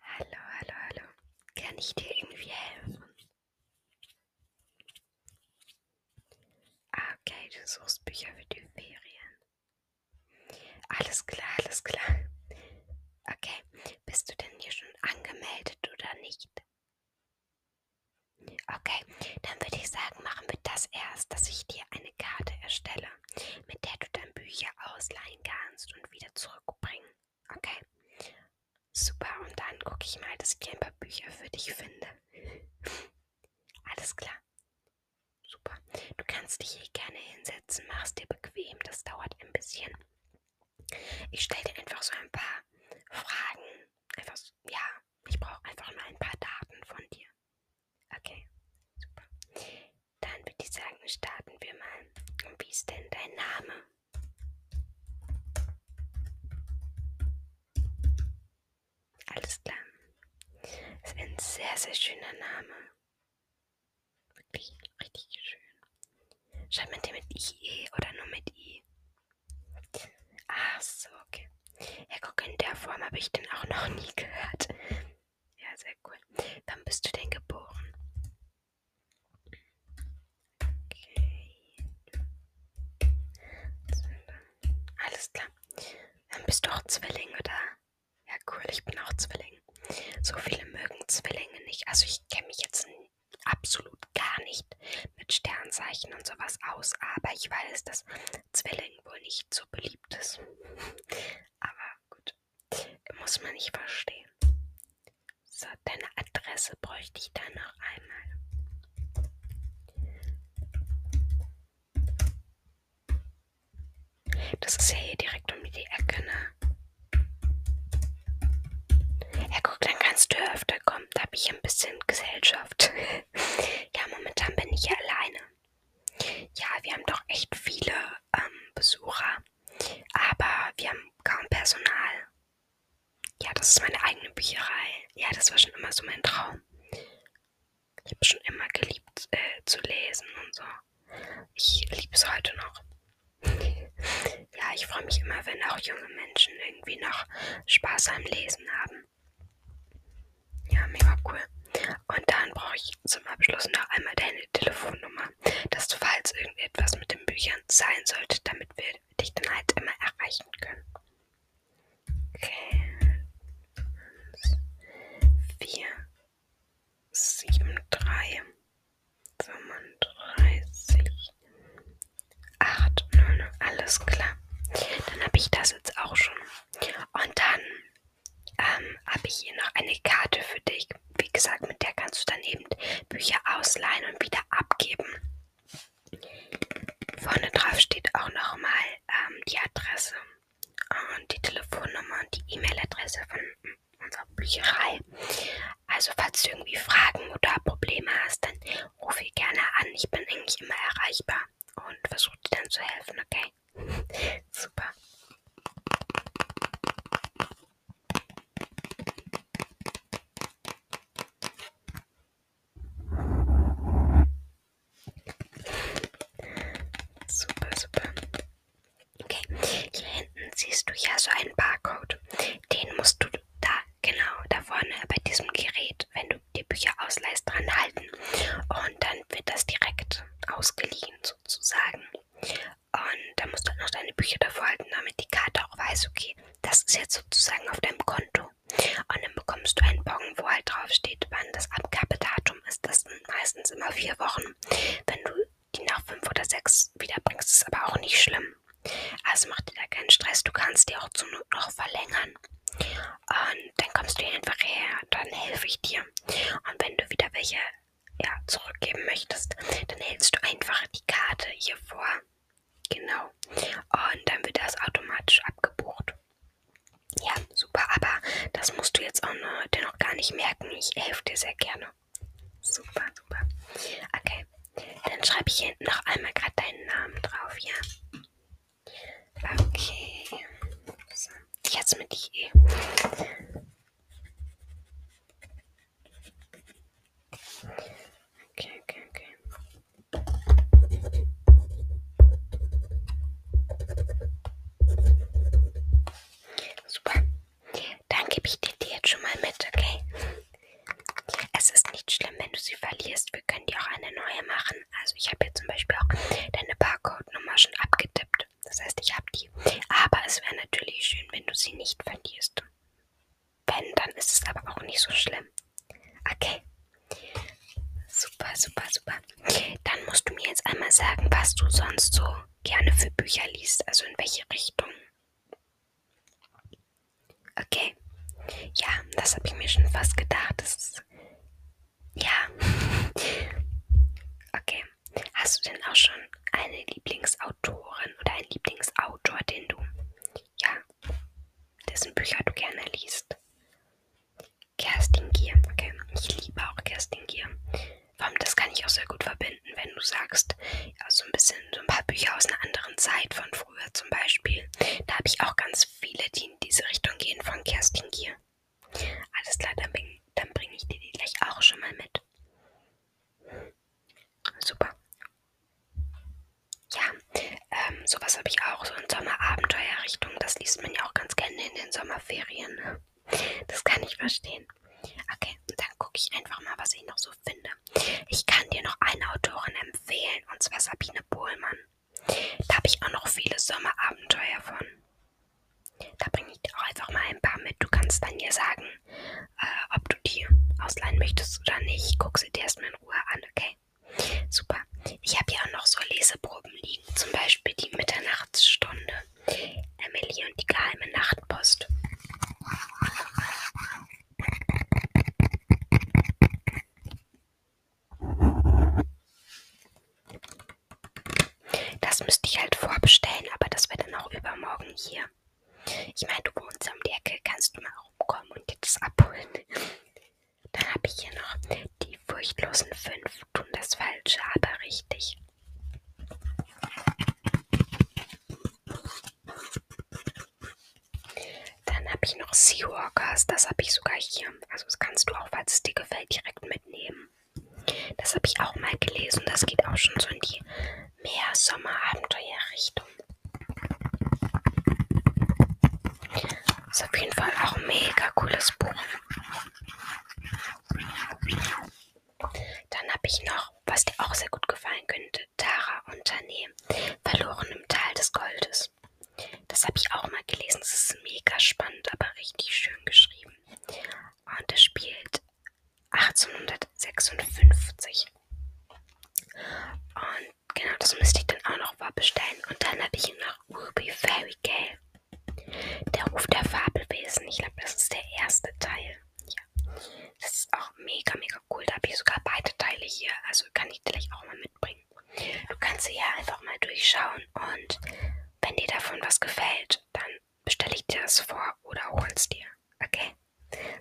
Hallo, hallo, hallo. Kann ich dir irgendwie helfen? Ah, okay, du suchst Bücher für die Ferien. Alles klar, alles klar. Okay, bist du denn hier schon angemeldet oder nicht? Okay, dann würde ich sagen, machen wir das erst, dass ich dir eine Karte erstelle mit der du dann Bücher ausleihen kannst und wieder zurückbringen. Okay? Super, und dann gucke ich mal, dass ich ein paar Bücher für dich finde. Alles klar. Super. Du kannst dich hier gerne hinsetzen, machst dir bequem, das dauert ein bisschen. Ich stelle dir einfach so ein paar Fragen. Einfach, so, ja, ich brauche einfach nur ein paar Daten von dir. Okay, super. Dann würde ich sagen, starten wir mal. Und wie ist denn dein Name? Alles klar. Das ist ein sehr, sehr schöner Name. Wirklich richtig schön. Schreibt man den mit IE oder nur mit I? Ach so, okay. Ja, guck, in der Form habe ich den auch noch nie gehört. Ja, sehr cool. Wann bist du denn geboren? Okay. Alles klar. Dann bist du auch Zwilling, oder? Ja, cool, ich bin auch Zwilling. So viele mögen Zwillinge nicht. Also ich kenne mich jetzt absolut gar nicht mit Sternzeichen und sowas aus, aber ich weiß, dass Zwilling wohl nicht so beliebt ist. aber gut. Muss man nicht verstehen. So, deine Adresse bräuchte ich dann noch einmal. Das ist ja hier direkt um die Ecke, ne? Ja, guck, dann kannst du öfter kommen. Da habe ich ein bisschen Gesellschaft. ja, momentan bin ich ja alleine. Ja, wir haben doch echt viele ähm, Besucher, aber wir haben kaum Personal. Ja, das ist meine eigene Bücherei. Ja, das war schon immer so mein Traum. Ich habe schon immer geliebt äh, zu lesen und so. Ich liebe es heute noch. ja, ich freue mich immer, wenn auch junge Menschen irgendwie noch Spaß am Lesen haben. Ja, mega cool. Und dann brauche ich zum Abschluss noch einmal deine Telefonnummer, dass du, falls irgendetwas mit den Büchern sein sollte, damit wir dich dann halt immer erreichen können. Okay. 4, 7, 3, 35, 8, 9, alles klar. Dann habe ich das jetzt auch schon. Und dann ähm, habe ich hier noch eine Karte für dich. Wie gesagt, mit der kannst du dann eben Bücher ausleihen und wieder abgeben. Vorne drauf steht auch nochmal ähm, die Adresse und die Telefonnummer und die E-Mail-Adresse von unserer Bücherei. Also falls du irgendwie Fragen oder Probleme hast, dann rufe ich gerne an. Ich bin eigentlich immer erreichbar und versuche dir dann zu helfen, okay? Super. Super, super. Okay, hier hinten siehst du ja so einen Barcode. Den musst du da, genau, da vorne bei diesem Gerät, wenn du die Bücher ausleihst, dran halten. Und dann wird das direkt ausgeliehen sozusagen. Und da musst du halt noch deine Bücher davor halten, damit die Karte auch weiß, okay, das ist jetzt sozusagen auf deinem Konto. Und dann bekommst du einen Bon, wo halt drauf steht, wann das Abgabedatum ist. Das sind meistens immer vier Wochen. Wenn du die nach fünf oder sechs wiederbringst, ist aber auch nicht schlimm. Also mach dir da keinen Stress, du kannst die auch zur Not noch verlängern. Und dann kommst du hier einfach her, dann helfe ich dir. Und wenn du wieder welche ja, zurückgeben möchtest, dann hältst du einfach die Karte hier vor. Genau. Und dann wird das automatisch abgebucht. Ja, super, aber das musst du jetzt auch noch, dir noch gar nicht merken. Ich helfe dir sehr gerne. Super, super. Okay. Dann schreibe ich hier hinten noch einmal gerade deinen Namen drauf, ja? Okay. So. Jetzt mit IE. Okay, okay, okay. Super. Dann gebe ich dir die jetzt schon mal mit, okay? Es ist nicht schlimm, wenn du sie verlierst. Wir können dir auch eine neue machen. Sachen. Also ich habe jetzt zum Beispiel auch deine Barcode-Nummer schon abgetippt. Das heißt, ich habe die. Aber es wäre natürlich schön, wenn du sie nicht verlierst. Wenn, dann ist es aber auch nicht so schlimm. Okay. Super, super, super. Dann musst du mir jetzt einmal sagen, was du sonst so gerne für Bücher liest. Also in welche Richtung. Okay. Ja, das habe ich mir schon fast gedacht. Das ist ja. Okay. Hast du denn auch schon eine Lieblingsautorin oder einen Lieblingsautor, den du, ja, dessen Bücher du gerne liest? Kerstin Gier. Okay. Ich liebe auch Kerstin Gier. Vor allem, das kann ich auch sehr gut verbinden, wenn du sagst, ja, so ein bisschen, so ein paar Bücher aus einer anderen Zeit von früher zum Beispiel. Da habe ich auch ganz viele, die in diese Richtung gehen von Kerstin Gier. Alles klar, dann, bring, dann bringe ich dir die gleich auch schon mal mit. Super. Ja, ähm, sowas habe ich auch, so in Sommerabenteuerrichtung. Das liest man ja auch ganz gerne in den Sommerferien. Ne? Das kann ich verstehen. Okay, dann gucke ich einfach mal, was ich noch so finde. Ich kann dir noch eine Autorin empfehlen, und zwar Sabine Bohlmann. Da habe ich auch noch viele Sommerabenteuer von. Da bringe ich dir auch einfach mal ein paar mit. Du kannst dann mir sagen, äh, ob du die ausleihen möchtest oder nicht. Guck sie dir erstmal in Ruhe an, okay? Super. Ich habe hier auch noch so Leseproben liegen. Zum Beispiel die Mitternachtsstunde. Emily und die geheime Nachtpost. Das müsste ich halt vorbestellen, aber das wäre dann auch übermorgen hier. Ich meine, du wohnst um die Ecke, kannst du mal rumkommen und dir das abholen. Dann habe ich hier noch die furchtlosen fünf tun das Falsche, aber richtig. Dann habe ich noch Seawalkers. Das habe ich sogar hier. Also das kannst du auch, falls es dir gefällt, direkt mitnehmen. Das habe ich auch mal gelesen. Das geht auch schon so in die Meer-Sommer-Abenteuer-Richtung. Ist auf jeden Fall auch ein mega cooles Buch. Dann habe ich noch, was dir auch sehr gut gefallen könnte, Tara Unternehmen, verloren im Tal des Goldes. Stories. Das habe ich auch mal gelesen. Das ist mega spannend, aber richtig schön geschrieben. Und es spielt 1856. Und genau, das müsste ich dann auch noch mal bestellen. Und dann habe ich noch Ruby Fairy Gale. Der Ruf der Fabelwesen. Ich glaube, das ist der erste Teil. Ja. Das ist auch mega, mega cool. Da habe ich sogar beide Teile hier. Also kann ich gleich auch mal mitbringen bringen. Du kannst sie ja einfach mal durchschauen und wenn dir davon was gefällt, dann bestelle ich dir das vor oder hol's dir. Okay?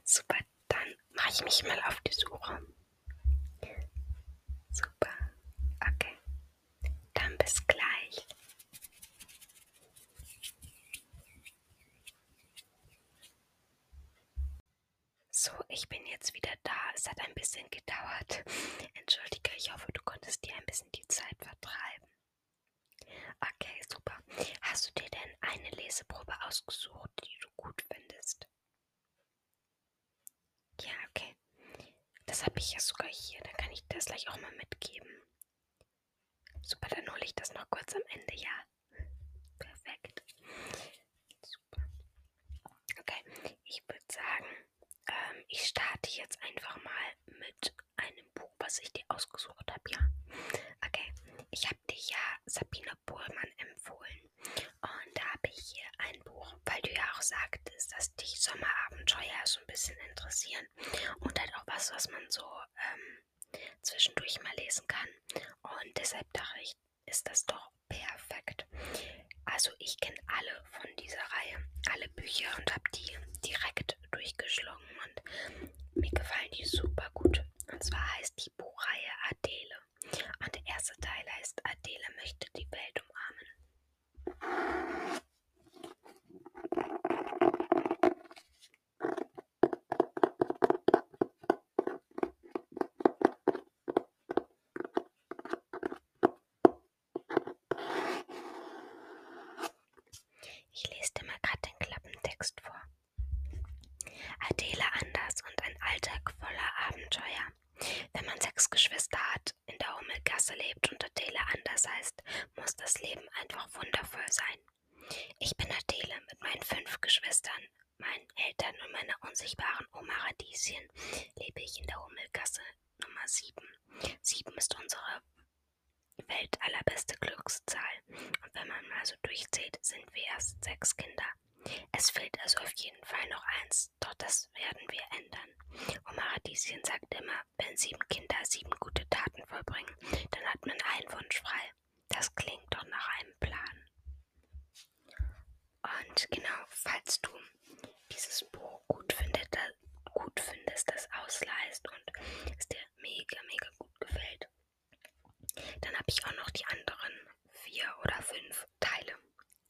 Super, dann mache ich mich mal auf die Suche. Super. Okay. Dann bis gleich. So, ich bin jetzt wieder da. Es hat ein bisschen gedauert. Entschuldige, ich hoffe, du konntest dir ein bisschen die Zeit vertreiben. Okay, super. Hast du dir denn eine Leseprobe ausgesucht, die du gut findest? Ja, okay. Das habe ich ja sogar hier. Dann kann ich das gleich auch mal mitgeben. Super, dann hole ich das noch kurz am Ende, ja? Perfekt. So super. Okay, ich würde sagen, ähm, ich starte jetzt einfach mal mit einem Buch, was ich dir ausgesucht habe, ja? Okay, ich habe dir ja Sabine Bohlmann empfohlen. Und da habe ich hier ein Buch, weil du ja auch sagtest, dass dich Sommerabenteuer so ein bisschen interessieren. Und halt auch was, was man so ähm, zwischendurch mal lesen kann. Und deshalb dachte ich, ist das doch perfekt. Also ich kenne alle von dieser Reihe, alle Bücher und habe die direkt durchgeschlungen und mir gefallen die super gut. Und zwar heißt die Buchreihe Adele. Und der erste Teil heißt Adele möchte die Welt umarmen. Ich lese dir mal gerade den Klappentext vor. Adela Anders und ein Alltag voller Abenteuer. Wenn man sechs Geschwister hat, in der Hummelgasse lebt und Adele anders heißt, muss das Leben einfach wundervoll sein. Ich bin Adele mit meinen fünf Geschwistern meinen Eltern und meiner unsichtbaren Oma Radieschen lebe ich in der Hummelgasse Nummer 7. 7 ist unsere Welt allerbeste Glückszahl. Und wenn man mal so durchzählt, sind wir erst sechs Kinder. Es fehlt also auf jeden Fall noch eins, doch das werden wir ändern. Oma Radieschen sagt immer, wenn sieben Kinder sieben gute Taten vollbringen, dann hat man einen Wunsch frei. Das klingt doch nach einem Plan. Und genau, falls du dieses Buch gut, findet, gut findest, das ausleihst und es dir mega, mega gut gefällt, dann habe ich auch noch die anderen vier oder fünf Teile.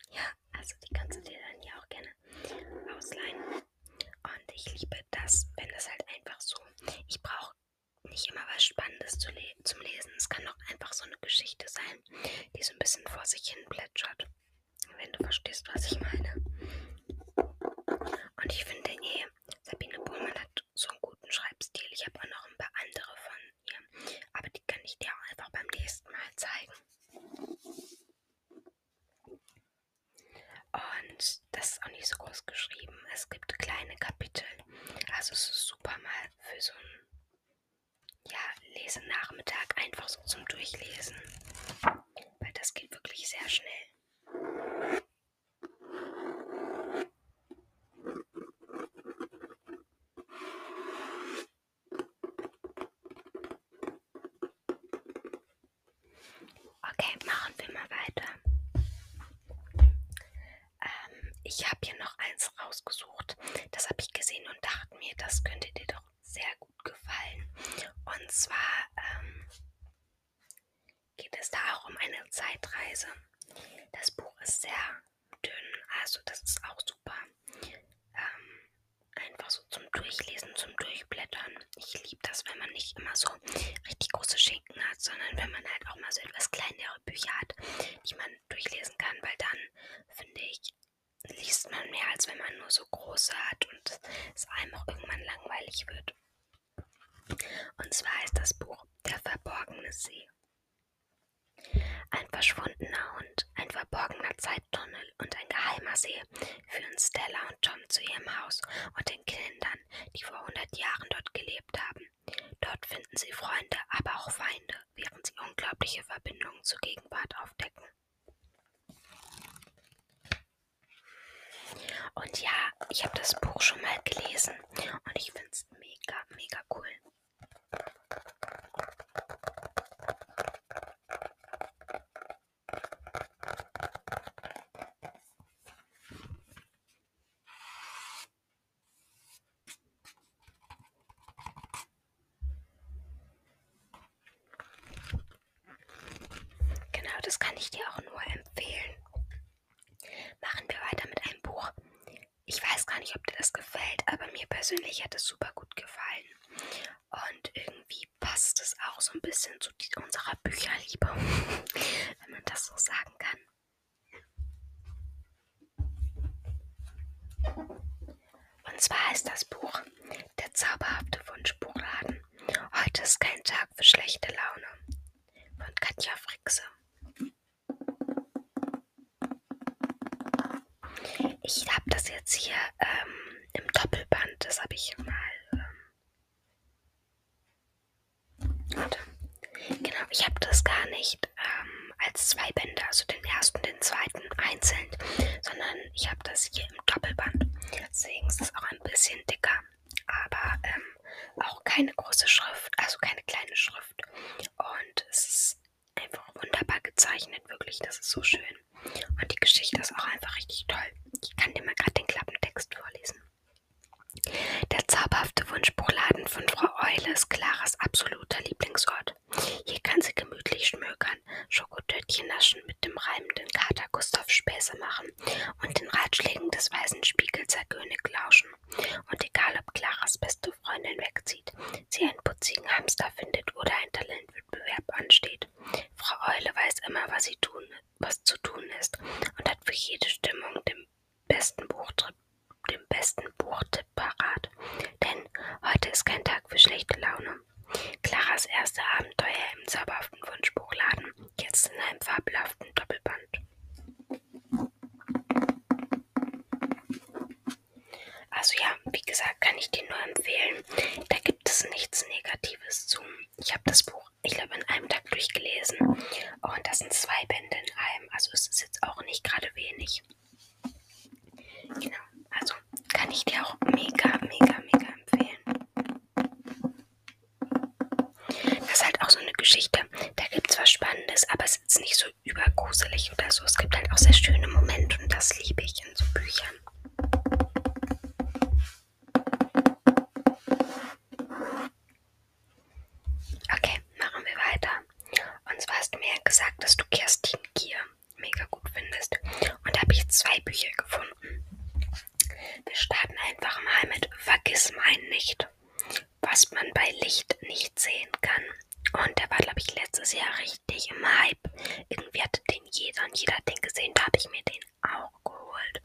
Ja, also die kannst du dir dann ja auch gerne ausleihen. Und ich liebe das, wenn das halt einfach so, ich brauche nicht immer was Spannendes zu lesen zum Lesen. Es kann auch einfach so eine Geschichte sein, die so ein bisschen vor sich hin plätschert. Wenn du verstehst, was ich meine. Und ich finde eh, Sabine Buhlmann hat so einen guten Schreibstil. Ich habe auch noch ein paar andere von ihr. Aber die kann ich dir auch einfach beim nächsten Mal zeigen. Und das ist auch nicht so groß geschrieben. Es gibt kleine Kapitel. Also es ist super mal für so ein ja, Lesenachmittag einfach so zum Durchlesen. Weil das geht wirklich sehr schnell. Okay, machen wir mal weiter. Ähm, ich habe hier noch eins rausgesucht. Das habe ich gesehen und dachte mir, das könnte dir doch sehr gut gefallen. Und zwar ähm, geht es da auch um eine Zeitreise. Das Buch ist sehr dünn, also das ist auch super. Ähm, einfach so zum Durchlesen, zum Durchblättern. Ich liebe das, wenn man nicht immer so richtig große Schinken hat, sondern wenn man halt auch mal so etwas kleinere Bücher hat, die man durchlesen kann, weil dann, finde ich, liest man mehr, als wenn man nur so große hat und es einem auch irgendwann langweilig wird. Und zwar ist das Buch Der verborgene See. Ein verschwundener Hund, ein verborgener Zeittunnel und ein geheimer See führen Stella und Tom zu ihrem Haus und den Kindern, die vor 100 Jahren dort gelebt haben. Dort finden sie Freunde, aber auch Feinde, während sie unglaubliche Verbindungen zur Gegenwart aufdecken. Und ja, ich habe das Buch schon mal gelesen und ich finde es mega, mega cool. Genau, das kann ich dir auch nur empfehlen. Machen wir weiter mit einem Buch. Ich weiß gar nicht, ob dir das gefällt, aber mir persönlich hat es super gut gefallen. Und irgendwie passt es auch so ein bisschen zu unserer Bücherliebe, wenn man das so sagen kann. Und zwar ist das Buch Der zauberhafte Wunschbuchladen. Heute ist kein Tag für schlechte Laune. Von Katja Frickse. Ich habe das jetzt hier ähm, im Doppelband. Das habe ich mal ähm, Warte. Genau, ich habe das gar nicht ähm, als zwei Bände, also den ersten und den zweiten einzeln, sondern ich habe das hier im Doppelband. Deswegen ist es auch ein bisschen dicker, aber ähm, auch keine große Schrift, also keine kleine Schrift. Und es ist einfach wunderbar gezeichnet, wirklich, das ist so schön. Und die Geschichte ist auch einfach richtig toll. Ich kann dir mal gerade den Klappentext vorlesen. Der zauberhafte Wunschbuchladen von Frau Eule ist Claras absoluter Lieblingsort. Hier kann sie gemütlich schmökern, Schokotötchen naschen, mit dem reimenden Kater Gustav Späße machen und den Ratschlägen des weißen Spiegels Herr König lauschen. Und egal, ob Claras beste Freundin wegzieht, sie einen putzigen Hamster findet oder ein Talentwettbewerb ansteht. Frau Eule weiß immer, was sie tun, was zu tun ist und hat für jede Stimmung den besten Buchtrip, dem besten Buchtipp parat. Denn heute ist kein Tag für schlechte Laune. Claras erste Abenteuer im zauberhaften Wunschbuchladen, jetzt in einem fabelhaften Doppelband. Also ja, wie gesagt, kann ich dir nur empfehlen. Da gibt es nichts Negatives zu. Ich habe das Buch, ich glaube, in einem Tag durchgelesen. Und das sind zwei Bände in einem allem. Also es ist jetzt auch nicht gerade wenig. Genau, also kann ich dir auch mega, mega, mega empfehlen. Das ist halt auch so eine Geschichte. Da gibt es was Spannendes, aber es ist nicht so übergruselig oder so. Es gibt halt auch sehr schöne Momente und das liebe ich in so Büchern. Okay, machen wir weiter. Und zwar hast du mir ja gesagt, dass du Kerstin Gier mega gut findest. Und da habe ich zwei Bücher gefunden. Wir starten einfach mal mit Vergiss mein nicht, was man bei Licht nicht sehen kann. Und der war, glaube ich, letztes Jahr richtig im Hype. Irgendwie hatte den jeder und jeder hat den gesehen. Da habe ich mir den auch geholt.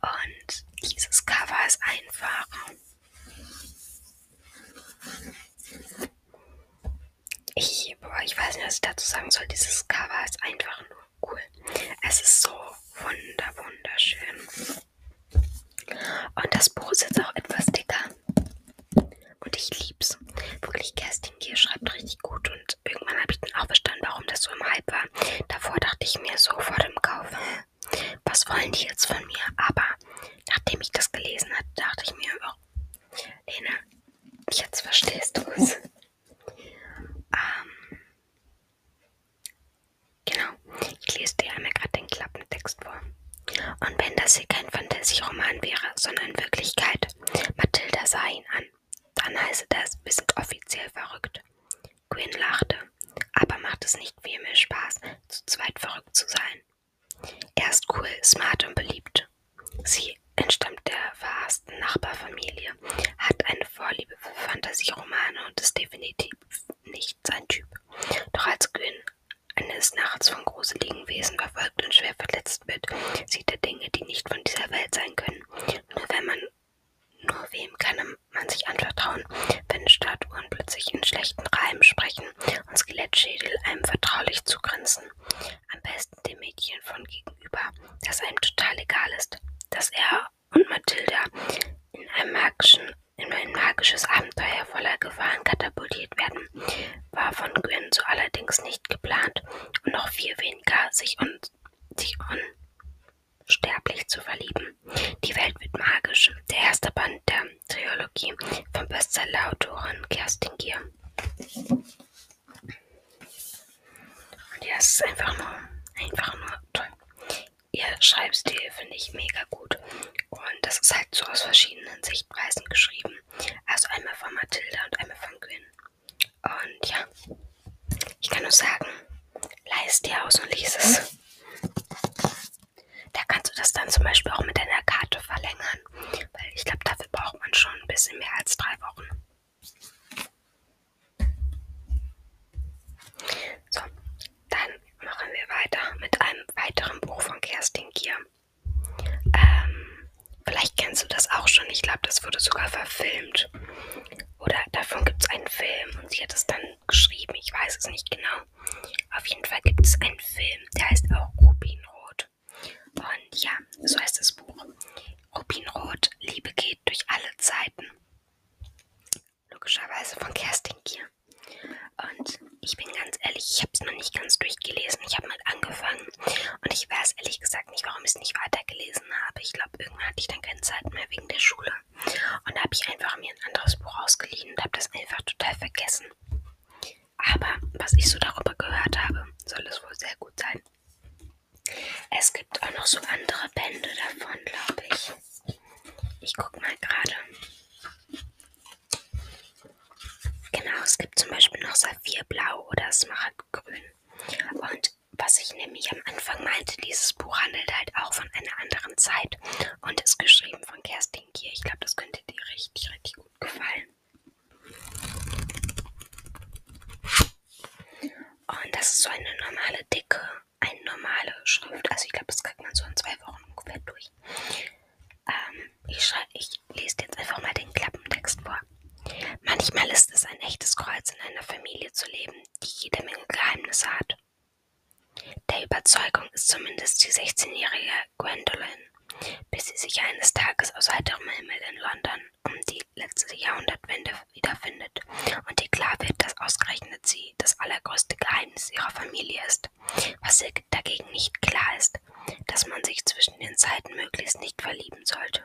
Und dieses Cover ist einfach ich, boah, ich weiß nicht, was ich dazu sagen soll. Dieses Cover ist einfach nur cool. Es ist so wunder, wunderschön. Und das Buch ist jetzt auch etwas dicker. Und ich lieb's. Wirklich, Kerstin Gier schreibt richtig gut. Und irgendwann habe ich dann auch verstanden, warum das so im Hype war. Davor dachte ich mir so vor dem Kauf, was wollen die jetzt von mir? Aber nachdem ich das gelesen hatte, dachte ich mir, oh, Lena, jetzt verstehst du es. ähm, genau, ich lese dir einmal gerade den Klappentext vor. Und wenn das hier kein Fantasy-Roman wäre, sondern Wirklichkeit, Mathilda sah ihn an. Dann heiße das, wir sind offiziell verrückt. Quinn lachte. Aber macht es nicht viel mehr Spaß, zu zweit verrückt zu sein. Er ist cool, smart und beliebt. Sie entstammt der verhassten Nachbarfamilie, hat eine Vorliebe für Fantasieromane und ist definitiv nicht sein Typ. Doch als Quinn eines Nachts von gruseligen Wesen verfolgt und schwer verletzt wird, sieht er Dinge, die nicht von dieser Welt sein können. Nur wenn man nur wem kann man sich anvertrauen, wenn Statuen plötzlich in schlechten Reimen sprechen und Skelettschädel einem vertraulich zugrinsen? Am besten dem Mädchen von gegenüber, das einem total egal ist, dass er und Mathilda in, in ein magisches Abenteuer voller Gefahren katapultiert werden, war von Gwen so allerdings nicht geplant und noch viel weniger sich, un, sich, un, unsterblich zu verlieben. Die Welt wird magisch. Der erste Band der Trilogie von Bestseller-Autorin Kerstin Gier. Und ja, es ist einfach nur, einfach nur toll. Ihr Schreibstil finde ich mega gut. Und das ist halt so aus verschiedenen Sichtweisen geschrieben. Also einmal von Mathilda und einmal von Gwen. Und ja. Ich kann nur sagen, leih dir aus und lies es. Da kannst du das dann zum Beispiel auch mit deiner Karte verlängern. Weil ich glaube, dafür braucht man schon ein bisschen mehr als drei Wochen. So, dann machen wir weiter mit einem weiteren Buch von Kerstin Gier. Ähm, vielleicht kennst du das auch schon. Ich glaube, das wurde sogar verfilmt. Oder davon gibt es einen Film und sie hat es dann geschrieben, ich weiß es nicht genau. Auf jeden Fall gibt es einen Film, der heißt auch Rubinrot. Und ja, so heißt das Buch. Rubinrot, Liebe geht durch alle Zeiten. Logischerweise von Kerstin Kier. Und ich bin ganz ehrlich, ich habe es noch nicht ganz durchgelesen. Ich habe mal angefangen und ich weiß ehrlich gesagt nicht, warum ich es nicht weitergelesen habe. Ich glaube, irgendwann hatte ich dann keine Zeit mehr wegen der Schule. Und da habe ich einfach mir ein anderes Buch ausgeliehen und habe das einfach total vergessen. Aber was ich so darüber gehört habe, soll es wohl sehr gut sein. Es gibt auch noch so andere Bände davon, glaube ich. Ich guck mal gerade. Genau, es gibt zum Beispiel noch Saphirblau oder Smaragdgrün. Und was ich nämlich am Anfang meinte, dieses Buch handelt halt auch von einer anderen Zeit und ist geschrieben von Kerstin Kier. Ich glaube, das könnte dir richtig, richtig gut gefallen. Und das ist so eine normale dicke, eine normale Schrift. Also ich glaube, das kriegt man so in zwei Wochen ungefähr durch. Ähm, ich, ich lese jetzt einfach mal den Klappentext vor. Manchmal ist es ein echtes Kreuz, in einer Familie zu leben, die jede Menge Geheimnisse hat. Der Überzeugung ist zumindest die 16-jährige Gwendolyn, bis sie sich eines Tages aus heiterem Himmel in London um die letzte Jahrhundertwende wiederfindet und ihr klar wird, dass ausgerechnet sie das allergrößte Geheimnis ihrer Familie ist. Was ihr dagegen nicht klar ist, dass man sich zwischen den Zeiten möglichst nicht verlieben sollte,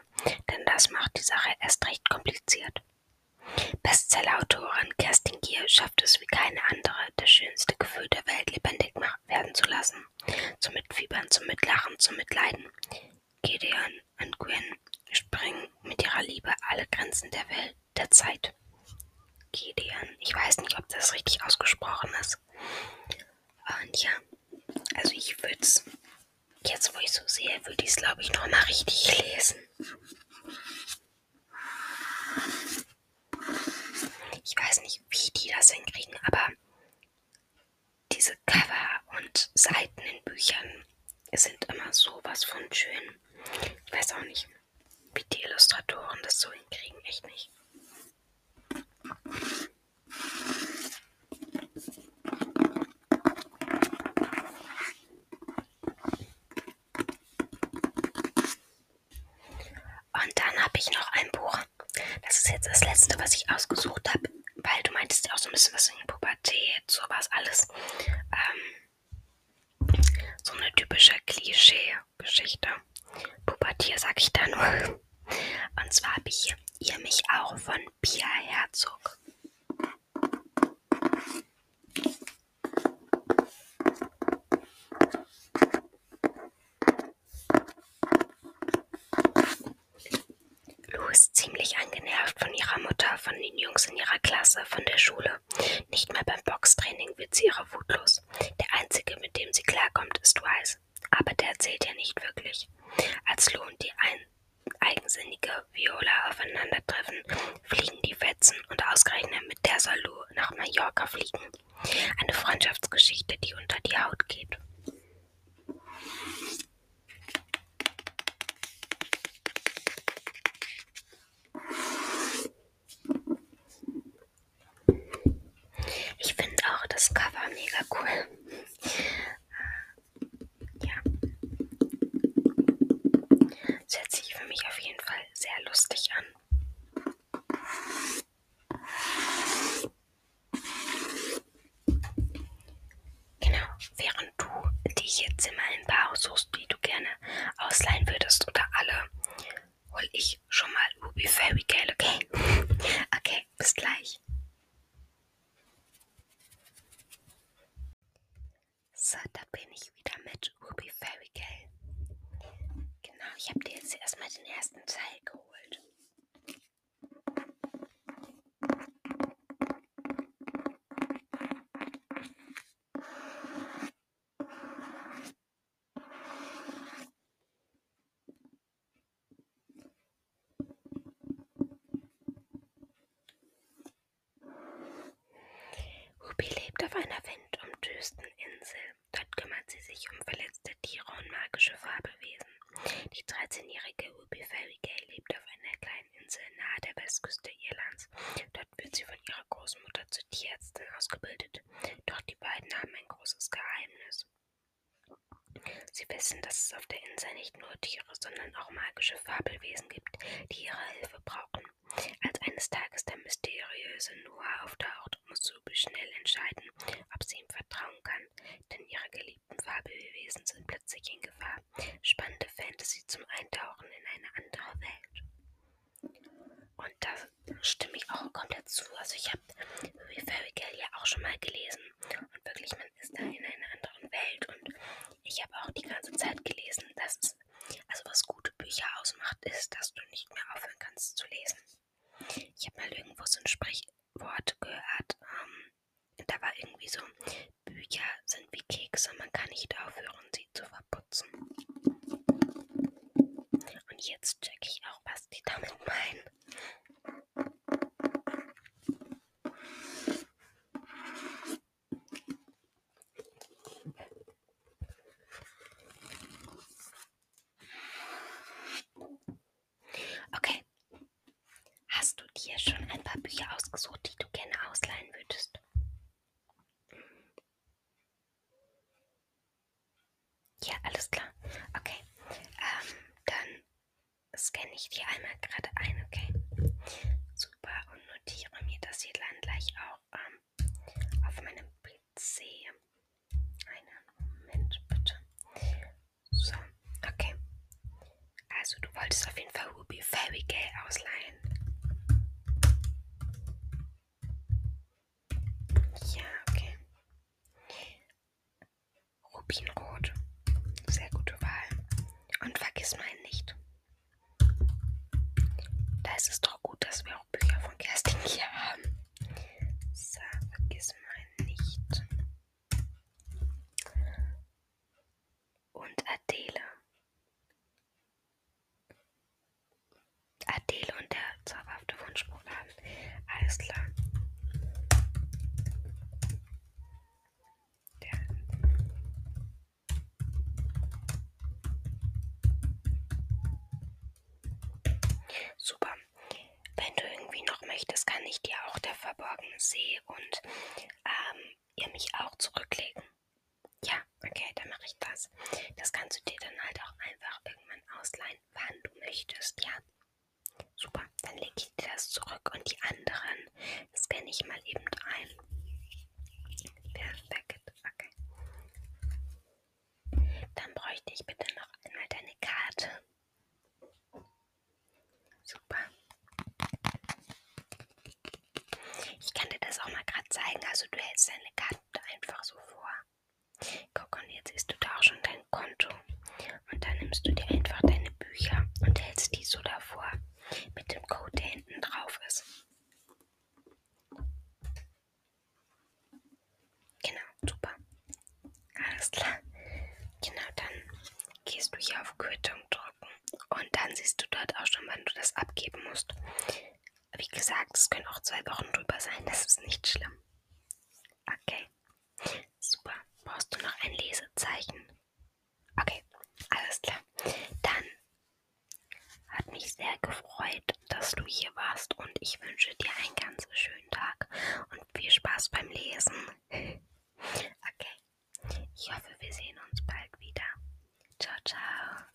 denn das macht die Sache erst recht kompliziert. Bestsellerautorin Kerstin Gier schafft es wie keine andere, das schönste Gefühl der Welt lebendig werden zu lassen. Zum Mitfiebern, zum Mitlachen, zum Mitleiden. Gideon und Gwen springen mit ihrer Liebe alle Grenzen der Welt, der Zeit. Gideon, ich weiß nicht, ob das richtig ausgesprochen ist. Und ja, also ich würde es Jetzt, wo ich so sehe, würde ich es, glaube ich, nochmal richtig lesen. Ich weiß nicht, wie die das hinkriegen, aber diese Cover und Seiten in Büchern sind immer sowas von schön. Ich weiß auch nicht, wie die Illustratoren das so hinkriegen, echt nicht. Und dann habe ich noch ein Buch. Das ist jetzt das letzte, was ich ausgesucht habe, weil du meintest ja auch so ein bisschen was in Pubertät, sowas alles. Ähm, so eine typische Klischee-Geschichte. Pubertier sag ich da nur. Und zwar habe ich hier Ihr mich auch von Pia Herzog. Lou ist ziemlich angenervt von ihrer Mutter, von den Jungs in ihrer Klasse, von der Schule. Nicht mal beim Boxtraining wird sie ihrer Wut los. Der einzige, mit dem sie klarkommt, ist Wise. Aber der erzählt ja nicht wirklich. Als Lou und die ein eigensinnige Viola aufeinandertreffen, fliegen die Fetzen und ausgerechnet mit der soll Lou nach Mallorca fliegen. Eine Freundschaftsgeschichte, die unter die Haut geht. Ich finde auch das Cover mega cool. Ja. Das hört sich für mich auf jeden Fall sehr lustig an. Genau, während du dir jetzt immer ein paar aussuchst, die du gerne ausleihen würdest oder alle, hol ich schon mal Ruby Fairy Gale, okay? okay, bis gleich. So, da bin ich wieder mit Ruby Fairy Gale. Genau, ich habe dir jetzt erstmal den ersten Teil geholt. Ruby lebt auf einer windumdösten Insel. Dort kümmert sie sich um verletzte Tiere und magische Fabelwesen. Die 13-jährige Ruby Fairy Gay lebt auf einer kleinen Insel nahe der Westküste Irlands. Dort wird sie von ihrer Großmutter zur Tierärztin ausgebildet. Doch die beiden haben ein großes Geheimnis. Sie wissen, dass es auf der Insel nicht nur Tiere, sondern auch magische Fabelwesen gibt, die ihre Hilfe brauchen. Als eines Tages der mysteriöse Noah auftaucht, muss Subi schnell entscheiden, ob sie ihm vertrauen kann, denn ihre geliebten Fabelwesen sind plötzlich in Gefahr. Spannende Fantasy zum Eintauchen in eine andere Welt. Und da stimme ich auch komplett zu. Also ich habe Fairy Gale ja auch schon mal gelesen und wirklich ist da in einer anderen Welt. Und ich habe auch die ganze Zeit gelesen, dass es, also was gute Bücher ausmacht, ist, dass du nicht mehr aufhören kannst zu lesen. Ich habe mal irgendwo so ein Sprichwort gehört. Ähm, da war irgendwie so, Bücher sind wie Kekse, man kann nicht aufhören, sie zu verputzen. Und jetzt checke ich auch, was die damit meinen. Okay. Hast du dir schon ein paar Bücher ausgesucht, die du gerne ausleihen würdest? Ja, alles klar. Okay. Ähm, dann scanne ich dir einmal gerade ein, okay? Super, und notiere mir das hier dann gleich auch ähm, auf meinem PC. Einen Moment bitte. So, okay. Also du wolltest auf jeden Fall Ruby Fairy Gale ausleihen. Ja, okay. Rubinrot. Sehr gute Wahl. Und vergiss mal nicht. Da ist es doch gut, dass wir auch Bücher von Kerstin hier haben. So, vergiss mal nicht. Und Adele. Adele und der zauberhafte Wunschbuchladen. Alles klar. Super. Wenn du irgendwie noch möchtest, kann ich dir auch der verborgene See und ähm, ihr mich auch zurücklegen. Ja, okay, dann mache ich das. Das kannst du dir dann halt auch einfach irgendwann ausleihen, wann du möchtest, ja? Super, dann lege ich das zurück und die anderen scanne ich mal eben ein. Perfekt, okay. Dann bräuchte ich bitte noch einmal deine Karte. Super. Ich kann dir das auch mal gerade zeigen, also du hältst deine Karte einfach so vor. Guck, und jetzt siehst du da auch schon dein Konto. Und dann nimmst du dir einfach deine Bücher und hältst die so davor mit dem Code, der hinten drauf ist. Genau, super. Alles klar. Genau, dann gehst du hier auf Quittung drücken und dann siehst du dort auch schon, wann du das abgeben musst. Wie gesagt, es können auch zwei Wochen drüber sein, das ist nicht schlimm. Okay. Super. Brauchst du noch ein Lesezeichen? Okay, alles klar. Dann hat mich sehr gefreut, dass du hier warst und ich wünsche dir einen ganz schönen Tag und viel Spaß beim Lesen. Okay, ich hoffe, wir sehen uns bald wieder. Ciao, ciao.